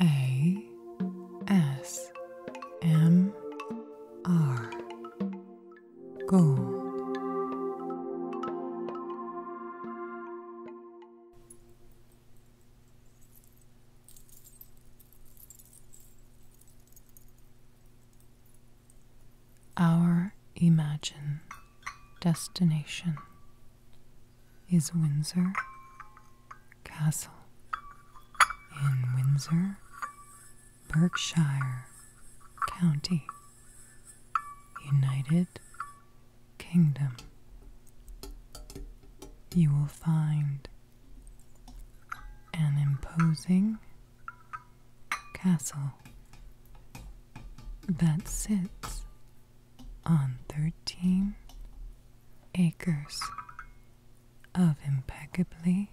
A S M R Gold Our imagined Destination is Windsor Castle in Windsor, Berkshire County, United Kingdom. You will find an imposing castle that sits on 13 acres of impeccably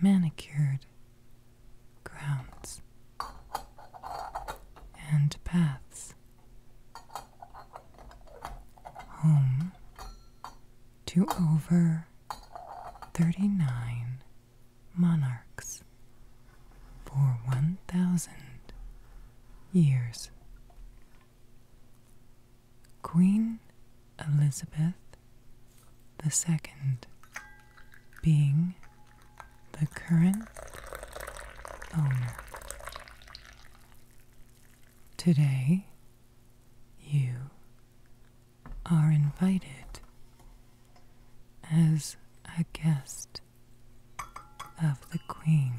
manicured grounds and paths. Home to over 39 monarchs for 1,000 years. Queen Elizabeth II, being the current owner. Today, you are invited as a guest of the Queen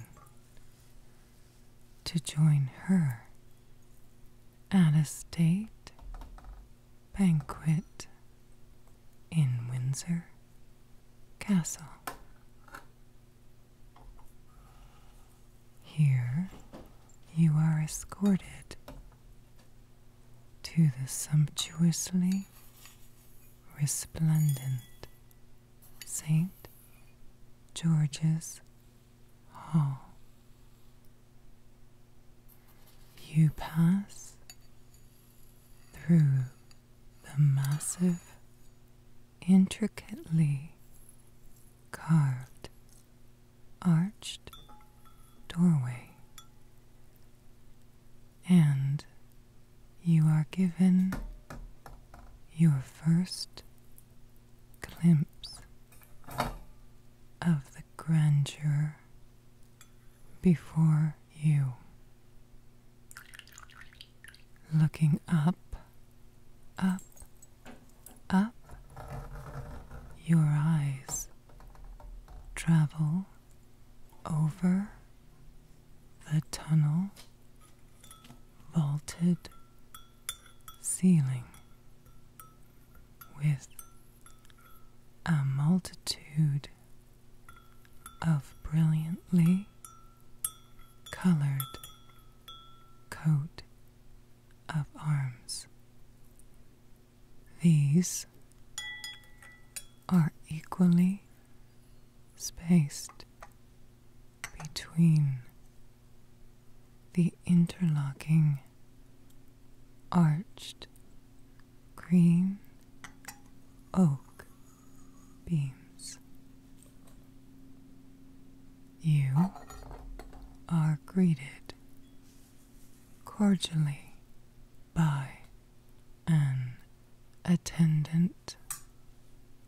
to join her at a state banquet in Windsor Castle. Here you are escorted to the sumptuously resplendent St. George's Hall. You pass through the massive, intricately carved, arched doorway and you are given your first glimpse of the grandeur before you. Looking up, up, up, your eyes travel over the tunnel, vaulted ceiling with a multitude of brilliantly colored coat of arms. These are equally spaced between the interlocking arched green oak beams. You are greeted cordially by an attendant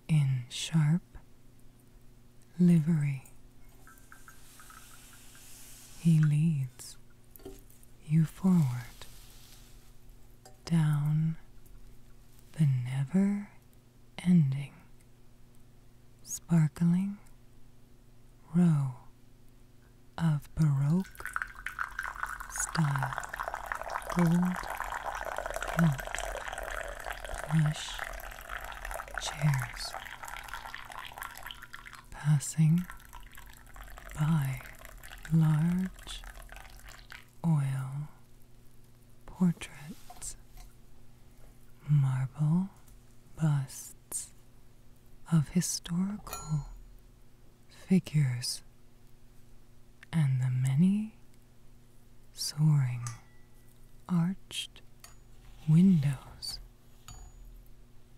in sharp livery. He leads you forward down the never ending, sparkling row of Baroque style, gold, plump, plush chairs, passing by large oil portraits, marble busts of historical figures and the many soaring arched windows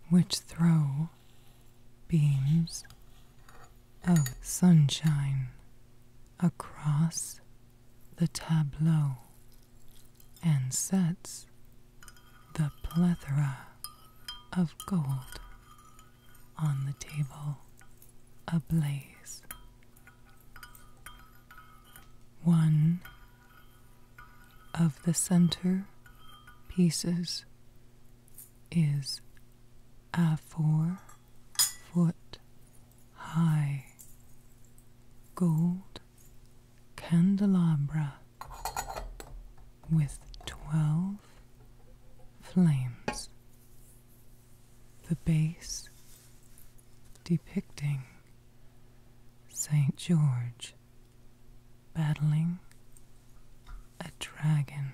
which throw beams of sunshine across the tableau and sets the plethora of gold on the table ablaze. One of the center pieces is a four foot high gold candelabra with twelve flames the base depicting St. George battling a dragon.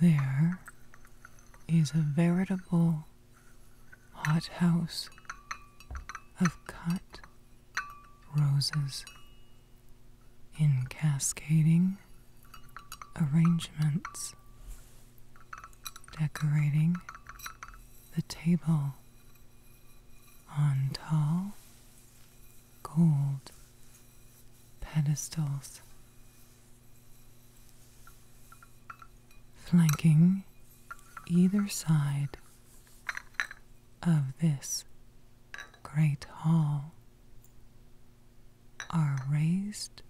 There is a veritable hothouse of cut roses in cascading arrangements, decorating the table on tall gold pedestals, flanking either side of this Great Hall are raised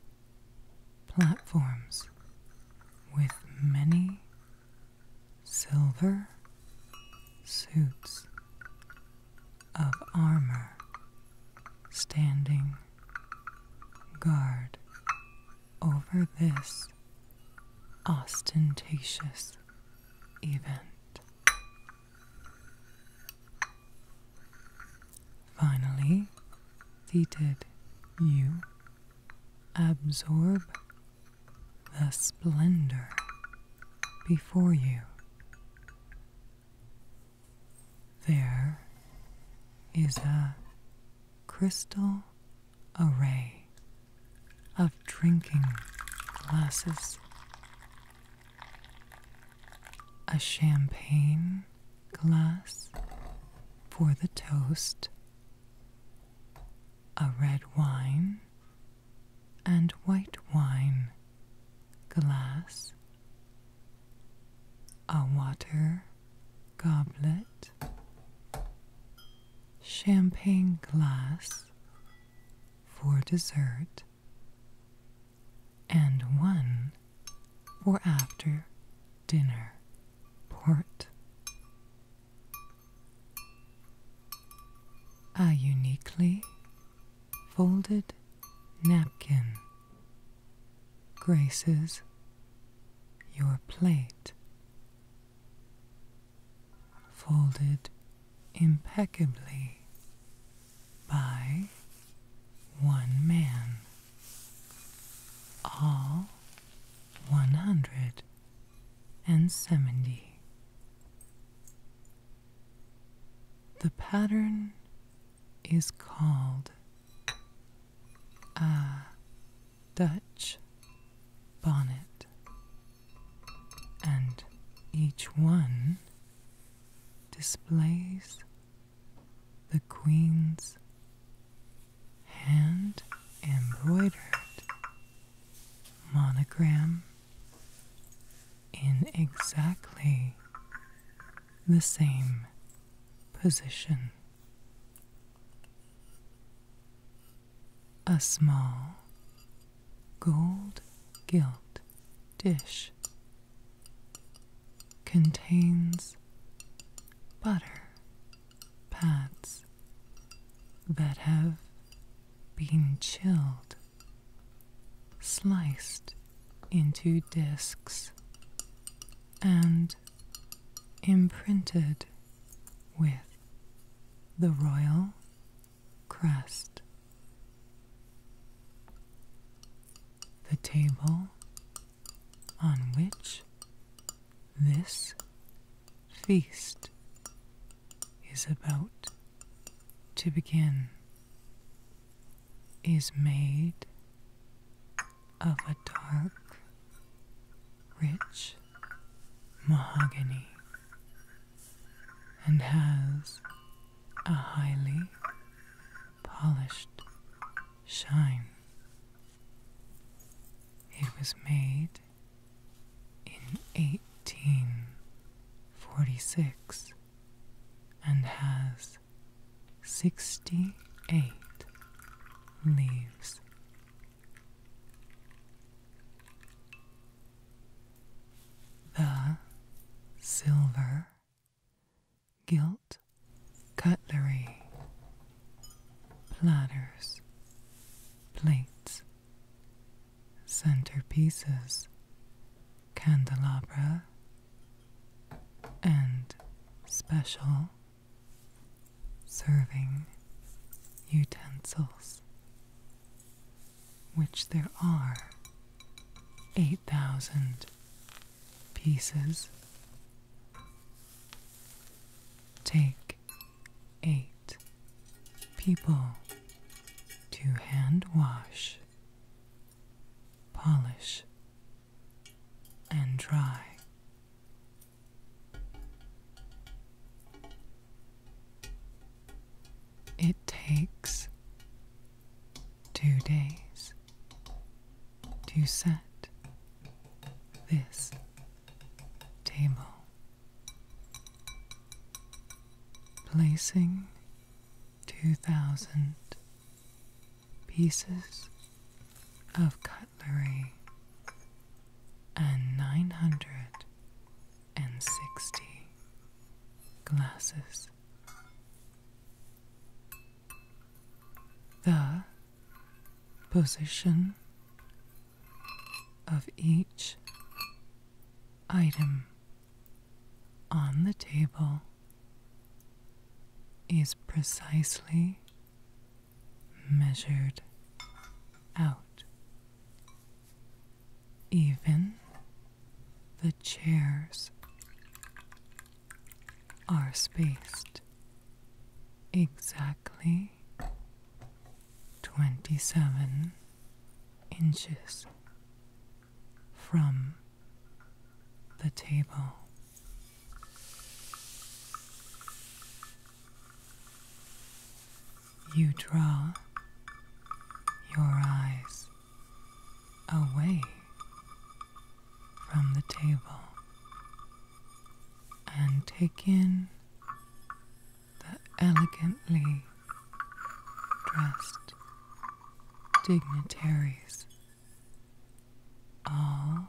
platforms with many silver suits of armor standing guard over this ostentatious event. Finally, did. you absorb the splendor before you. There is a crystal array of drinking glasses a champagne glass for the toast, a red wine and white wine glass, a water goblet, champagne glass for dessert and one for after dinner port. A uniquely folded napkin graces your plate. Folded impeccably by one man. All 170. The pattern is called a Dutch bonnet, and each one displays the Queen's hand embroidered monogram in exactly the same position. A small gold gilt dish contains butter pats that have been chilled, sliced into discs, and imprinted with the royal crest. The table on which this feast is about to begin is made of a dark, rich mahogany and has a highly polished shine. It was made in 1846 and has 68 leaves. The silver gilt cutlery, platters, plates, centerpieces, candelabra, and special serving utensils, which there are 8,000 pieces. Take eight people to hand wash, polish, and dry. It takes two days to set this table. Placing 2,000 pieces of cutlery and 960 glasses the position of each item on the table is precisely measured out. Even the chairs are spaced exactly 27 inches from the table. You draw your eyes away from the table and take in the elegantly dressed dignitaries, all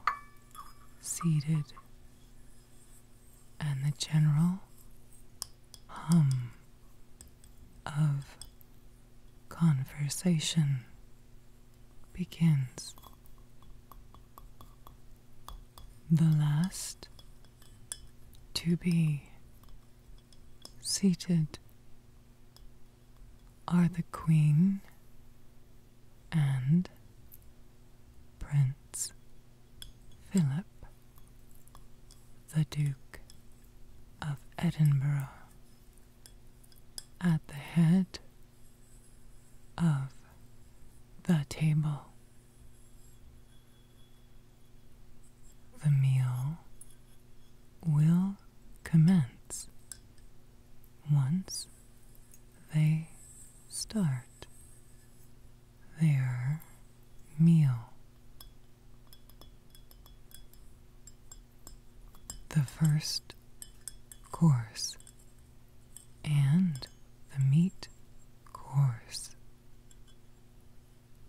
seated, and the general hum of conversation begins. The last to be seated are the Queen and Prince Philip, the Duke of Edinburgh at the head of the table. The meal will commence once they start their meal the first course and the meat course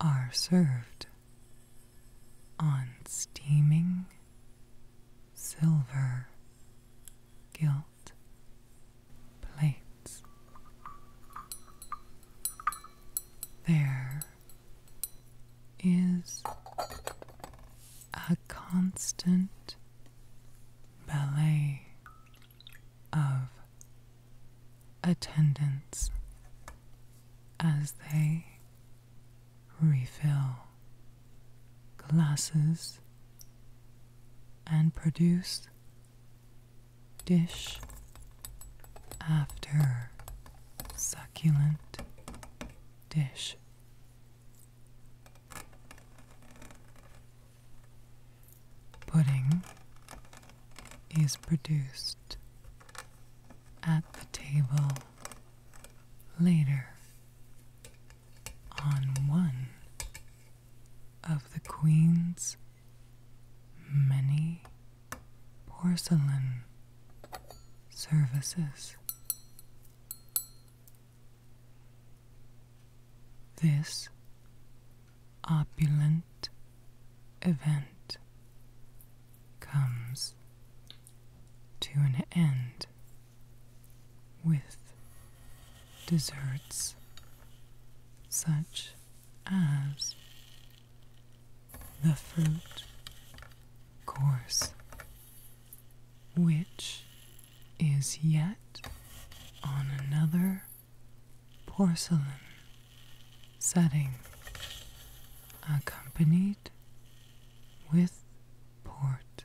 are served on steaming silver gilt plates. There is a constant ballet of attendance as they refill glasses and produce dish after succulent dish. Pudding is produced at the table later on one of the Queen's many porcelain services. This opulent event comes to an end with desserts such as the fruit course, which is yet on another porcelain setting, accompanied with port.